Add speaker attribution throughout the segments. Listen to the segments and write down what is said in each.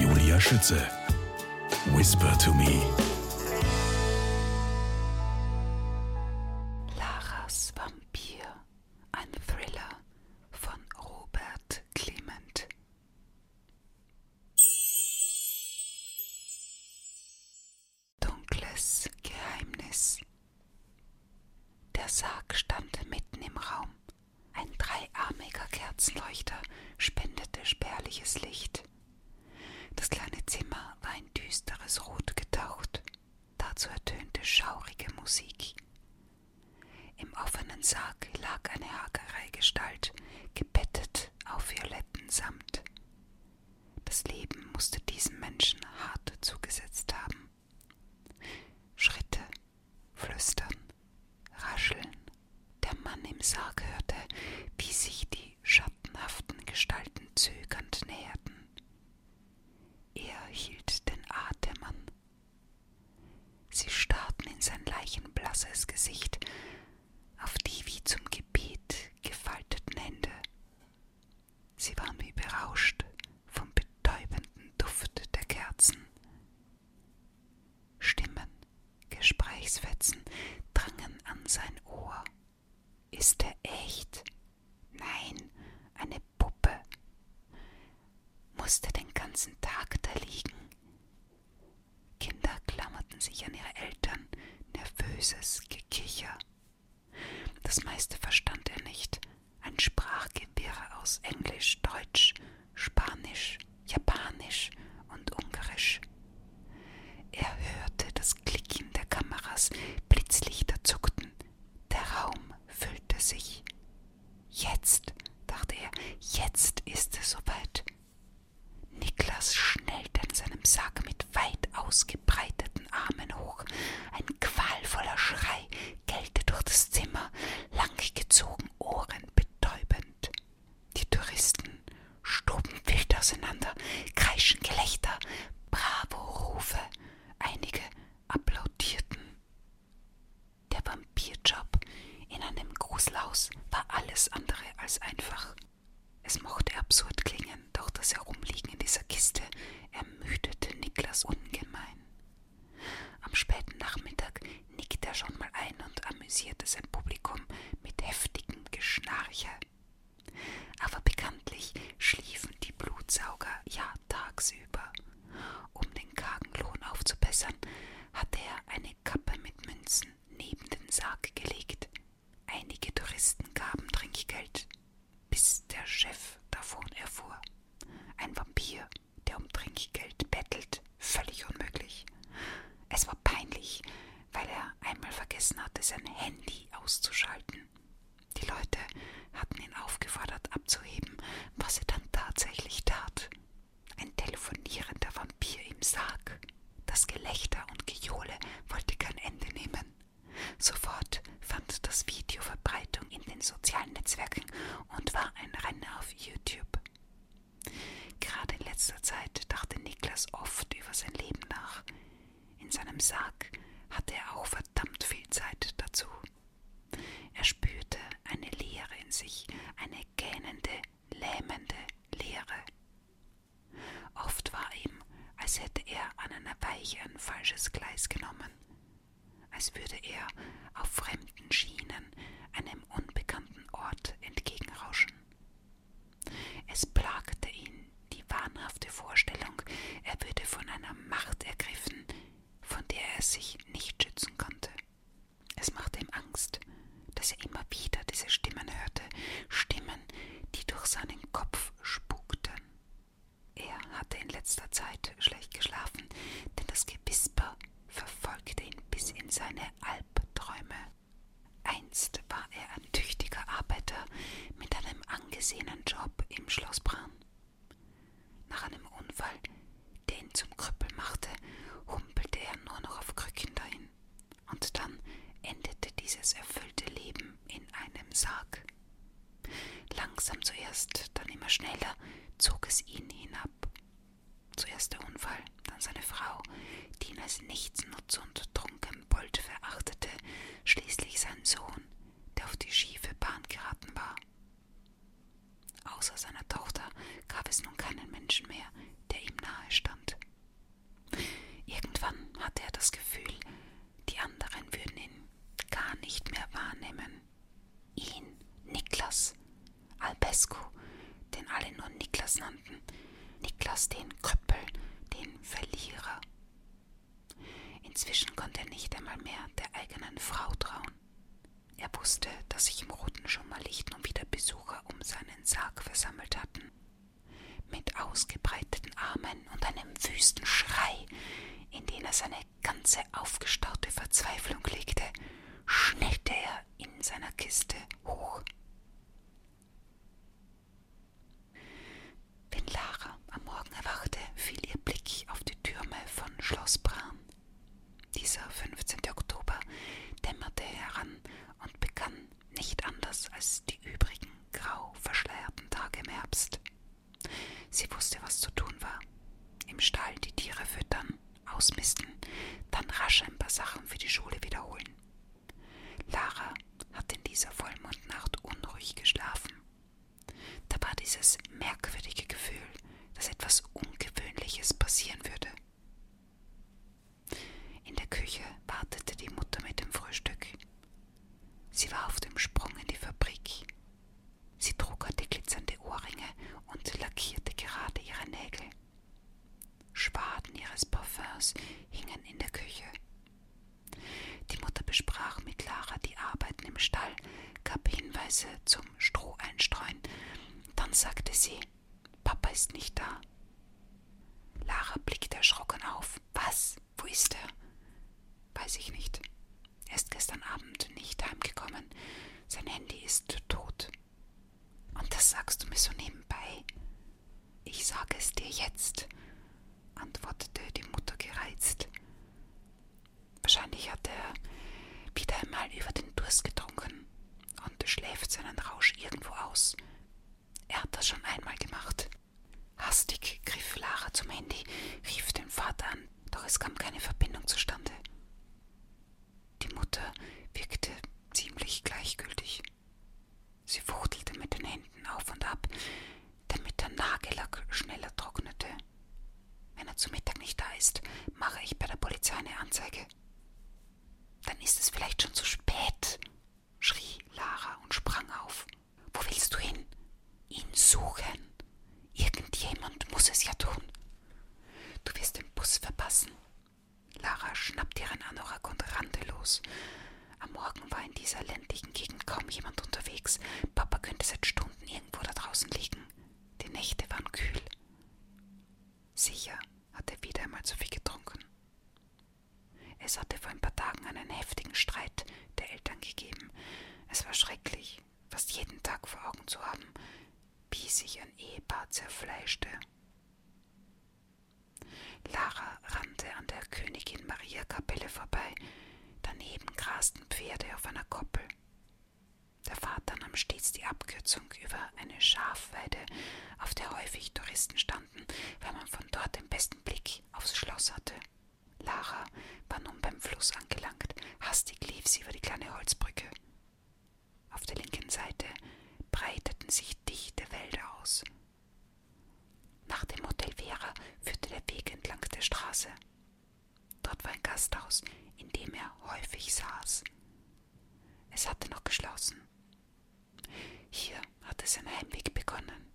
Speaker 1: Julia Schütze. Whisper to me. Laras Vampir. Ein Thriller von Robert Clement. Dunkles Geheimnis. Der Sarg stand mitten im Raum. Ein dreiarmiger Kerzenleuchter spendete spärliches Licht. Das kleine Zimmer war in düsteres Rot getaucht. Dazu ertönte schaurige Musik. Im offenen Sarg lag eine hagere Gestalt, gebettet auf violetten Samt. Das Leben musste diesem Menschen hart zugesetzt haben. Schritte, Flüstern, Rascheln. Der Mann im Sarg hörte, wie sich die schattenhaften Gestalten zögernd näherten. Er hielt den Atem an. Sie starrten in sein leichenblasses Gesicht, auf die wie zum Gebet gefalteten Hände. Sie waren wie berauscht vom betäubenden Duft der Kerzen, Stimmen, Gesprächsfetzen drangen an sein Ohr. Ist er echt? Nein, eine Puppe. Musste den ganzen Tag da liegen. Kinder klammerten sich an ihre Eltern, nervöses Gekicher. Das meiste verstand er nicht, ein Sprachgewirr aus Englisch, Deutsch, Spanisch, Japanisch und Ungarisch. Er hörte das Klicken der Kameras, Blitzlichter zuckten, der Raum füllte sich. Jetzt, dachte er, jetzt ist es soweit. Niklas schnellte in seinem Sarg mit weit ausgebreiteten Armen hoch. Ein qualvoller Schrei gellte durch das Zimmer, lang gezogen, ohrenbetäubend. Die Touristen stoben wild auseinander, kreischen Gelächter, Bravo-Rufe. Einige applaudierten. Der Vampirjob in einem Gruselhaus war alles andere als einfach. Es mochte absurd klingen, doch das Herumliegen in dieser Kiste ermüdete Niklas ungemein. Am späten Nachmittag nickt er schon mal ein und amüsierte sein Publikum mit heftigem Geschnarche. Aber bekanntlich schliefen die Blutsauger ja tagsüber. Um den kargen Lohn aufzubessern, hatte er eine Kappe mit Münzen neben den Sarg gelegt. Einige Touristen gaben Trinkgeld, bis der Chef davon erfuhr. Ein Vampir, der um Trinkgeld bettelt, völlig unmöglich. Es war peinlich, weil er einmal vergessen hatte, sein Handy auszuschalten. Die Leute hatten ihn aufgefordert abzuheben, was er dann tatsächlich tat. Ein telefonierender Vampir im Sarg. Das Gelächter und Gejohle wollte kein Ende nehmen. Sofort fand das Video Verbreitung in den sozialen Netzwerken und war ein Renner auf YouTube. Gerade in letzter Zeit dachte Niklas oft über sein Leben nach. In seinem Sarg hatte er auch verdammt viel Zeit dazu. Er spürte eine Leere in sich, eine gähnende, lähmende Leere. Oft war ihm, als hätte er an einer Weiche ein falsches Gleis genommen als würde er auf fremden Schienen einem unbekannten Ort entgegenrauschen. Es plagte ihn die wahnhafte Vorstellung, er würde von einer Macht ergriffen, von der er sich nicht schützen konnte. Es machte ihm Angst, dass er immer wieder diese Stimmen hörte, Stimmen, die durch seinen Kopf spukten. Er hatte in letzter Zeit schlecht geschlafen, denn das Gewisper verfolgte ihn bis in seine Albträume. Einst war er ein tüchtiger Arbeiter mit einem angesehenen Job im Schloss Bran. Nach einem Unfall, der ihn zum Krüppel machte, humpelte er nur noch auf Krücken dahin. Und dann endete dieses erfüllte Leben in einem Sarg. Langsam zuerst, dann immer schneller zog es ihn hinab. Zuerst der Unfall, dann seine Frau, die ihn als Nichtsnutz und Trunkenbold verachtete, schließlich sein Sohn, der auf die schiefe Bahn geraten war. Außer seiner Tochter gab es nun keinen Menschen mehr, der ihm nahe stand. Irgendwann hatte er das Gefühl, die anderen würden ihn gar nicht mehr wahrnehmen. Ihn, Niklas, Albescu, den alle nur Niklas nannten, Niklas den Krüppel, den Verlierer. Inzwischen konnte er nicht einmal mehr der eigenen Frau trauen. Er wusste, dass sich im Roten schon mal Licht und wieder Besucher um seinen Sarg versammelt hatten mit ausgebreiteten Armen und einem wüsten Schrei, in den er seine ganze aufgestaute Verzweiflung legte, schnellte er in seiner Kiste hoch. Wenn Lara am Morgen erwachte, fiel ihr Blick auf die Türme von Schloss Bram. Dieser 15. Oktober dämmerte heran und begann nicht anders als die übrigen grau verschleierten Tage im Herbst. Sie wusste, was zu tun war. Im Stall die Tiere füttern, ausmisten, dann rasch ein paar Sachen für die Schule wiederholen. Lara hat in dieser Vollmondnacht unruhig geschlafen. Da war dieses merkwürdige Gefühl, dass etwas Ungewöhnliches passieren würde. In der Küche wartete die Mutter mit dem Frühstück. Sie war auf dem Sprung in die Fabrik. Sie trug heute glitzernde Ohrringe und lackierte gerade ihre Nägel. Schwaden ihres Parfums hingen in der Küche. Die Mutter besprach mit Lara die Arbeiten im Stall, gab Hinweise zum Stroh einstreuen. Dann sagte sie: Papa ist nicht da. Lara blickte erschrocken auf auf. Was? Wo ist er? Weiß ich nicht. Er ist gestern Abend nicht heimgekommen. Sein Handy ist tot. Und das sagst du mir so nebenbei? Ich sage es dir jetzt, antwortete die Mutter gereizt. Wahrscheinlich hat er wieder einmal über den Durst getrunken und schläft seinen Rausch irgendwo aus. Er hat das schon einmal gemacht. Hastig griff Lara zum Handy, rief den Vater an, doch es kam keine Verbindung zustande. Die Mutter wirkte ziemlich gleichgültig. Sie fuchtelte mit den Händen auf und ab, damit der Nagellack schneller trocknete. Wenn er zu Mittag nicht da ist, mache ich bei der Polizei eine Anzeige. Dann ist es vielleicht schon zu spät, schrie Lara und sprang auf. Wo willst du hin? Ihn suchen. Irgendjemand muss es ja tun. Du wirst den Bus verpassen. Lara schnappte ihren Anorak und rannte los. Am Morgen war in dieser ländlichen Gegend kaum jemand unterwegs. Papa könnte seit Stunden irgendwo da draußen liegen. Die Nächte waren kühl. Sicher hat er wieder einmal zu viel getrunken. Es hatte vor ein paar Tagen einen heftigen Streit der Eltern gegeben. Es war schrecklich, fast jeden Tag vor Augen zu haben, wie sich ein Ehepaar zerfleischte. Lara rannte an der Königin Maria Kapelle vorbei, daneben grasten Pferde auf einer Koppel. Der Vater nahm stets die Abkürzung über eine Schafweide, auf der häufig Touristen standen gestanden, weil man von dort den besten Blick aufs Schloss hatte. Lara war nun beim Fluss angelangt. Hastig lief sie über die kleine Holzbrücke. Auf der linken Seite breiteten sich dichte Wälder aus. Nach dem Hotel Vera führte der Weg entlang der Straße. Dort war ein Gasthaus, in dem er häufig saß. Es hatte noch geschlossen. Hier hatte sein Heimweg begonnen.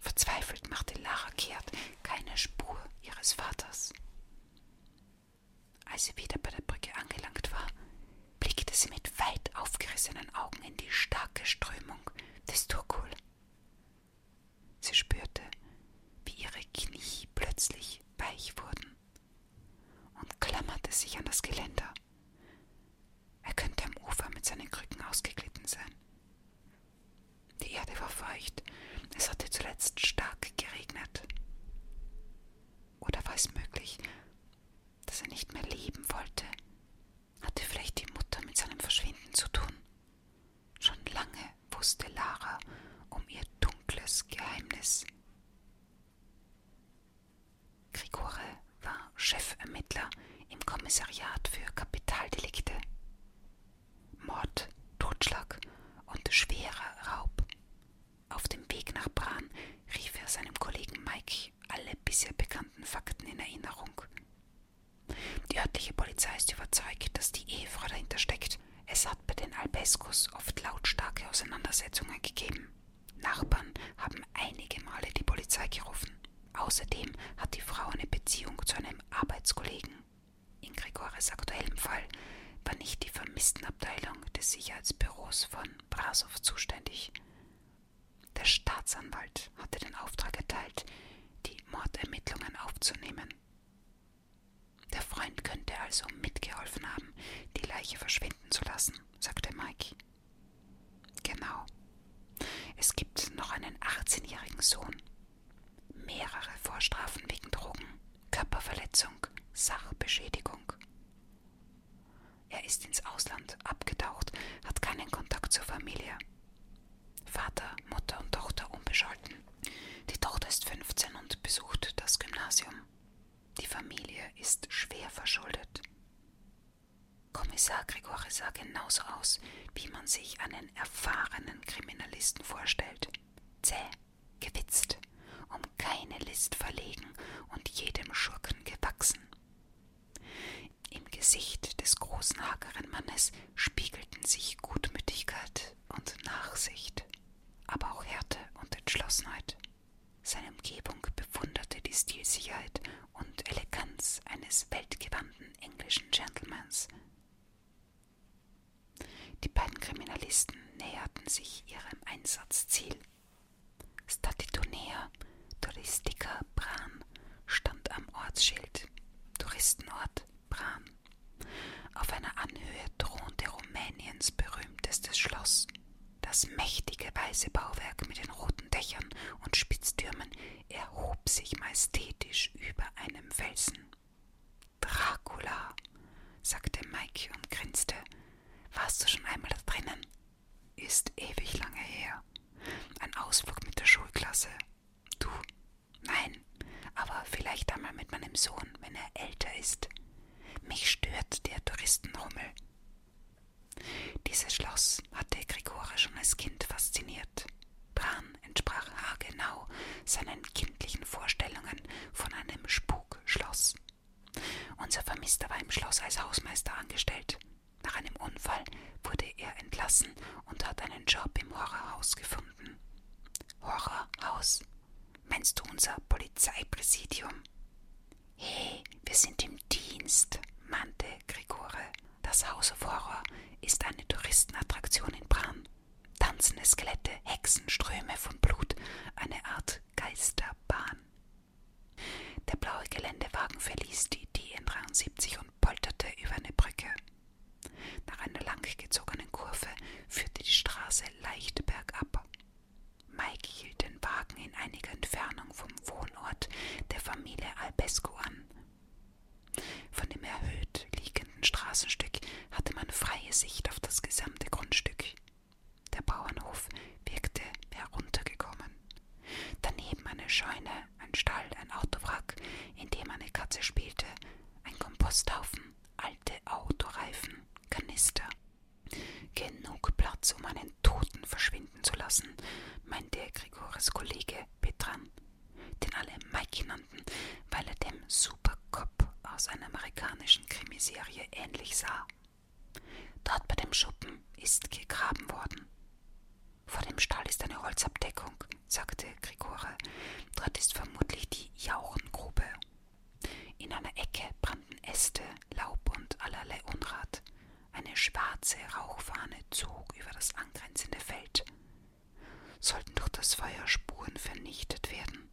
Speaker 1: Verzweifelt machte Lara kehrt, keine Spur ihres Vaters. Als sie wieder bei der Brücke angelangt war, blickte sie mit weit aufgerissenen Augen in die starke Strömung des Turkul. Sie spürte, wie ihre Knie plötzlich weich wurden und klammerte sich an das Geländer. Er könnte am Ufer mit seinen Krücken ausgeglitten sein. Die Erde war feucht, es hatte zuletzt stark geregnet. Oder war es möglich, dass er nicht mehr leben wollte? Hatte vielleicht die Mutter mit seinem Verschwinden zu tun? Schon lange wusste Lara um ihr dunkles Geheimnis. Grigore war Chefermittler im Kommissariat für Kapitaldelikte. Mord, Totschlag und schwerer Raub. Auf dem Weg nach Bran rief er seinem Kollegen Mike alle bisher bekannten Fakten in Erinnerung. Die örtliche Polizei ist überzeugt, dass die Ehefrau dahinter steckt. Es hat bei den Albescos oft lautstarke Auseinandersetzungen gegeben. Nachbarn haben einige Male die Polizei gerufen. Außerdem hat die Frau eine Beziehung zu einem Arbeitskollegen. In Gregores aktuellem Fall war nicht die Vermisstenabteilung des Sicherheitsbüros von Brasow zuständig. Der Staatsanwalt hatte den Auftrag erteilt, die Mordermittlungen aufzunehmen. Der Freund könnte also mitgeholfen haben, die Leiche verschwinden zu lassen, sagte Mike. Genau. Es gibt noch einen 18-jährigen Sohn. Mehrere Vorstrafen wegen Drogen, Körperverletzung, Sachbeschädigung. Er ist ins Ausland abgetaucht, hat keinen Kontakt zur Familie. Vater, Mutter und Tochter unbescholten. Die Tochter ist 15 und besucht das Gymnasium. Die Familie ist schwer verschuldet. Kommissar Grigori sah genauso aus, wie man sich einen erfahrenen Kriminalisten vorstellt. Zäh, gewitzt, um keine List verlegen und jedem Schurken gewachsen. Im Gesicht des großen, hageren Mannes spiegelten sich Gutmütigkeit und Nachsicht, aber auch Härte und Entschlossenheit. Seine Umgebung bewunderte die Stilsicherheit und Eleganz eines weltgewandten englischen Gentlemans. Die beiden Kriminalisten näherten sich ihrem Einsatzziel. Statitonea Touristica Bran stand am Ortsschild Touristenort Bran. Auf einer Anhöhe thronte Rumäniens berühmtestes Schloss das mächtige weiße Bauwerk mit den roten Dächern und Spitztürmen erhob sich majestätisch über einem Felsen. Dracula, sagte Mike und grinste. Warst du schon einmal da drinnen? Ist ewig lange her. Ein Ausflug mit der Schulklasse. Du? Nein, aber vielleicht einmal mit meinem Sohn, wenn er älter ist. Mich stört der Touristenrummel. Dieses Schloss hatte Grigore schon als Kind fasziniert. Bran entsprach haargenau seinen kindlichen Vorstellungen von einem Spukschloss. Unser Vermisster war im Schloss als Hausmeister angestellt. Nach einem Unfall wurde er entlassen und hat einen Job im Horrorhaus gefunden. Horrorhaus. Meinst du unser Polizeipräsidium? Hey, wir sind im Dienst, mahnte Grigore. Das Haus of Horror ist eine Touristenattraktion in Bran. Tanzende Skelette, Hexenströme von Blut, eine Art Geisterbahn. Der blaue Geländewagen verließ die DN73 und polterte über eine Brücke. Nach einer langgezogenen Kurve führte die Straße leicht bergab. Mike hielt den Wagen in einiger Entfernung vom Wohnort der Familie Albescu an. Von dem erhöht liegenden Straßenstück hatte man freie Sicht auf das gesamte Grundstück. Der Bauernhof wirkte heruntergekommen. Daneben eine Scheune, ein Stall, ein Autowrack, in dem eine Katze spielte, ein Komposthaufen, alte Autoreifen, Kanister. Genug Platz, um einen Toten verschwinden zu lassen, meinte Grigores Kollege Petran, den alle Mike nannten, weil er dem Supercop aus einer amerikanischen Krimiserie ähnlich sah. Dort bei dem Schuppen ist gegraben worden. Vor dem Stall ist eine Holzabdeckung, sagte Grigore. Dort ist vermutlich die Jauchengrube. In einer Ecke brannten Äste, Laub und allerlei Unrat. Eine schwarze Rauchfahne zog über das angrenzende Feld. Sollten durch das Feuer Spuren vernichtet werden?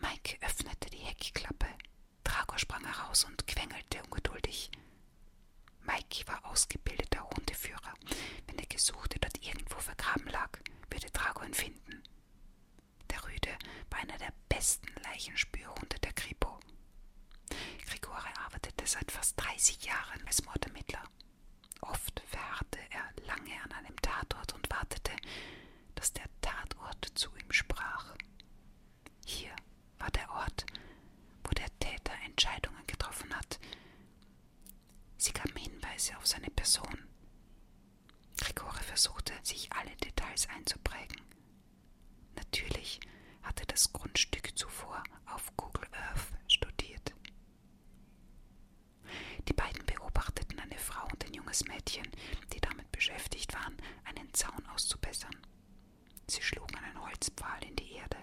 Speaker 1: Mike öffnete die Heckklappe. Drago sprang heraus und quengelte ungeduldig. Mike war ausgebildeter Hundeführer. Wenn der Gesuchte dort irgendwo vergraben lag, würde Drago ihn finden. Der Rüde war einer der besten Leichenspürhunde der Kripo. Grigore arbeitete seit fast 30 Jahren als Mordermittler. Oft verharrte er lange an einem Tatort und wartete, dass der Tatort zu ihm sprach. Hier war der Ort, wo der Täter Entscheidungen getroffen hat, Sie gaben Hinweise auf seine Person. Gregore versuchte, sich alle Details einzuprägen. Natürlich hatte das Grundstück zuvor auf Google Earth studiert. Die beiden beobachteten eine Frau und ein junges Mädchen, die damit beschäftigt waren, einen Zaun auszubessern. Sie schlugen einen Holzpfahl in die Erde.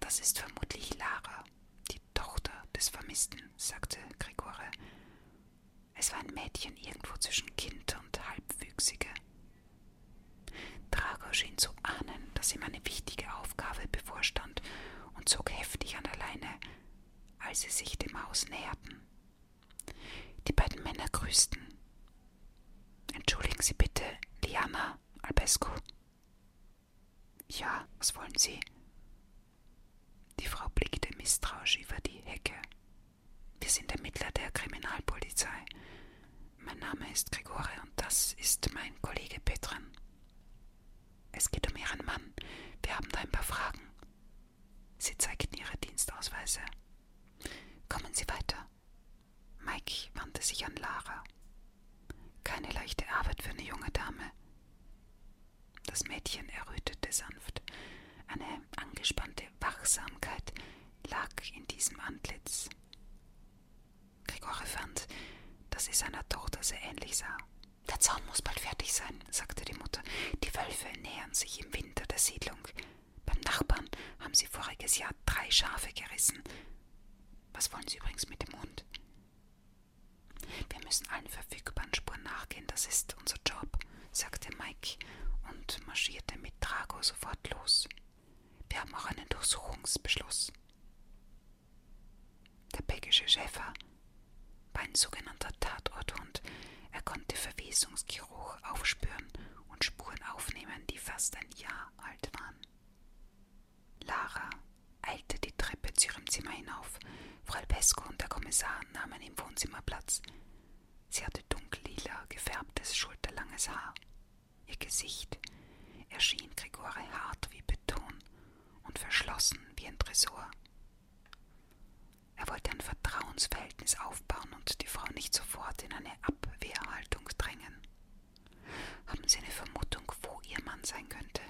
Speaker 1: Das ist vermutlich Lara, die Tochter des Vermissten, sagte Gregore. Es war ein Mädchen irgendwo zwischen Kind und Halbwüchsige. Drago schien zu ahnen, dass ihm eine wichtige Aufgabe bevorstand und zog heftig an der Leine, als sie sich dem Haus näherten. Die beiden Männer grüßten. Entschuldigen Sie bitte, Liana Albescu, ja, was wollen Sie? Die Frau blickte misstrauisch über die Hecke. Wir sind Ermittler der Kriminalpolizei. Mein Name ist Grigore und das ist mein Kollege Petran. Es geht um Ihren Mann. Wir haben da ein paar Fragen. Sie zeigten ihre Dienstausweise. Kommen Sie weiter. Mike wandte sich an Lara. Keine leichte Arbeit für eine junge Dame, das Mädchen errötete sanft. Eine angespannte Wachsamkeit lag in diesem Antlitz. Gregore fand, dass sie seiner Tochter sehr ähnlich sah. Der Zaun muss bald fertig sein, sagte die Mutter. Die Wölfe nähern sich im Winter der Siedlung. Beim Nachbarn haben sie voriges Jahr drei Schafe gerissen. Was wollen Sie übrigens mit dem Hund? Wir müssen allen verfügbaren Spuren nachgehen, das ist unser Job, sagte Mike und marschierte mit Drago sofort los. Wir haben auch einen Durchsuchungsbeschluss. Der belgische Schäfer war ein sogenannter Tatorthund. Er konnte Verwesungsgeruch aufspüren und Spuren aufnehmen, die fast ein Jahr alt waren. Lara eilte die Treppe zu ihrem Zimmer hinauf. Frau Alpesco und der Kommissar nahmen im Wohnzimmer Platz. Sie hatte dunkellila gefärbtes, schulterlanges Haar. Ihr Gesicht erschien Grigore hart wie Beton und verschlossen wie ein Tresor. Er wollte ein Vertrauensverhältnis aufbauen und die Frau nicht sofort in eine Abwehrhaltung drängen. Haben Sie eine Vermutung, wo Ihr Mann sein könnte?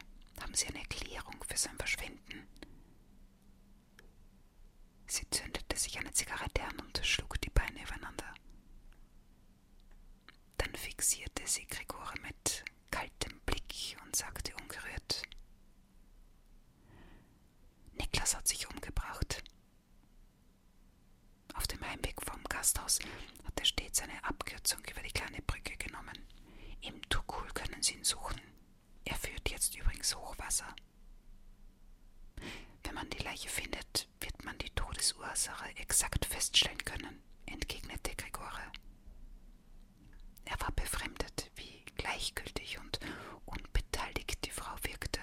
Speaker 1: Haben Sie eine Erklärung für sein Verschwinden? Sie zündete sich eine Zigarette an und schlug die Beine übereinander. Dann fixierte sie Gregore mit kaltem Blick und sagte ungerührt: Niklas hat sich umgebracht. Auf dem Heimweg vom Gasthaus hat er stets eine Abkürzung über die kleine Brücke genommen. Im Tukul können Sie ihn suchen. Er führt jetzt übrigens Hochwasser. Wenn man die Leiche findet, wird man die Todesursache exakt feststellen können, entgegnete Gregore. Er war befremdet, wie gleichgültig und unbeteiligt die Frau wirkte.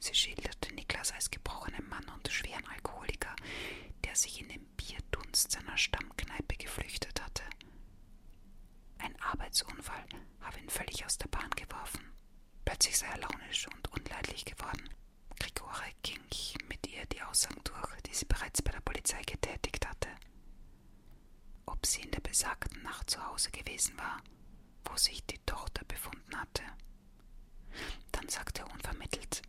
Speaker 1: Sie schilderte Niklas als gebrochenen Mann und schweren Alkoholiker, der sich in den Bierdunst seiner Stammkneipe geflüchtet hatte. Ein Arbeitsunfall habe ihn völlig aus der Bahn geworfen. Plötzlich sei er launisch und unleidlich geworden. Grigore ging mit ihr die Aussagen durch, die sie bereits bei der Polizei getätigt hatte. Ob sie in der besagten Nacht zu Hause gewesen war, wo sich die Tochter befunden hatte. Dann sagte er unvermittelt,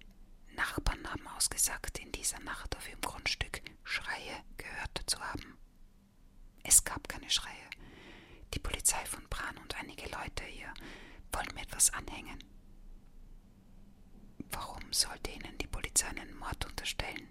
Speaker 1: Nachbarn haben ausgesagt, in dieser Nacht auf ihrem Grundstück Schreie gehört zu haben. Es gab keine Schreie. Die Polizei von Bran und einige Leute hier wollen mir etwas anhängen. Warum sollte ihnen die Polizei einen Mord unterstellen?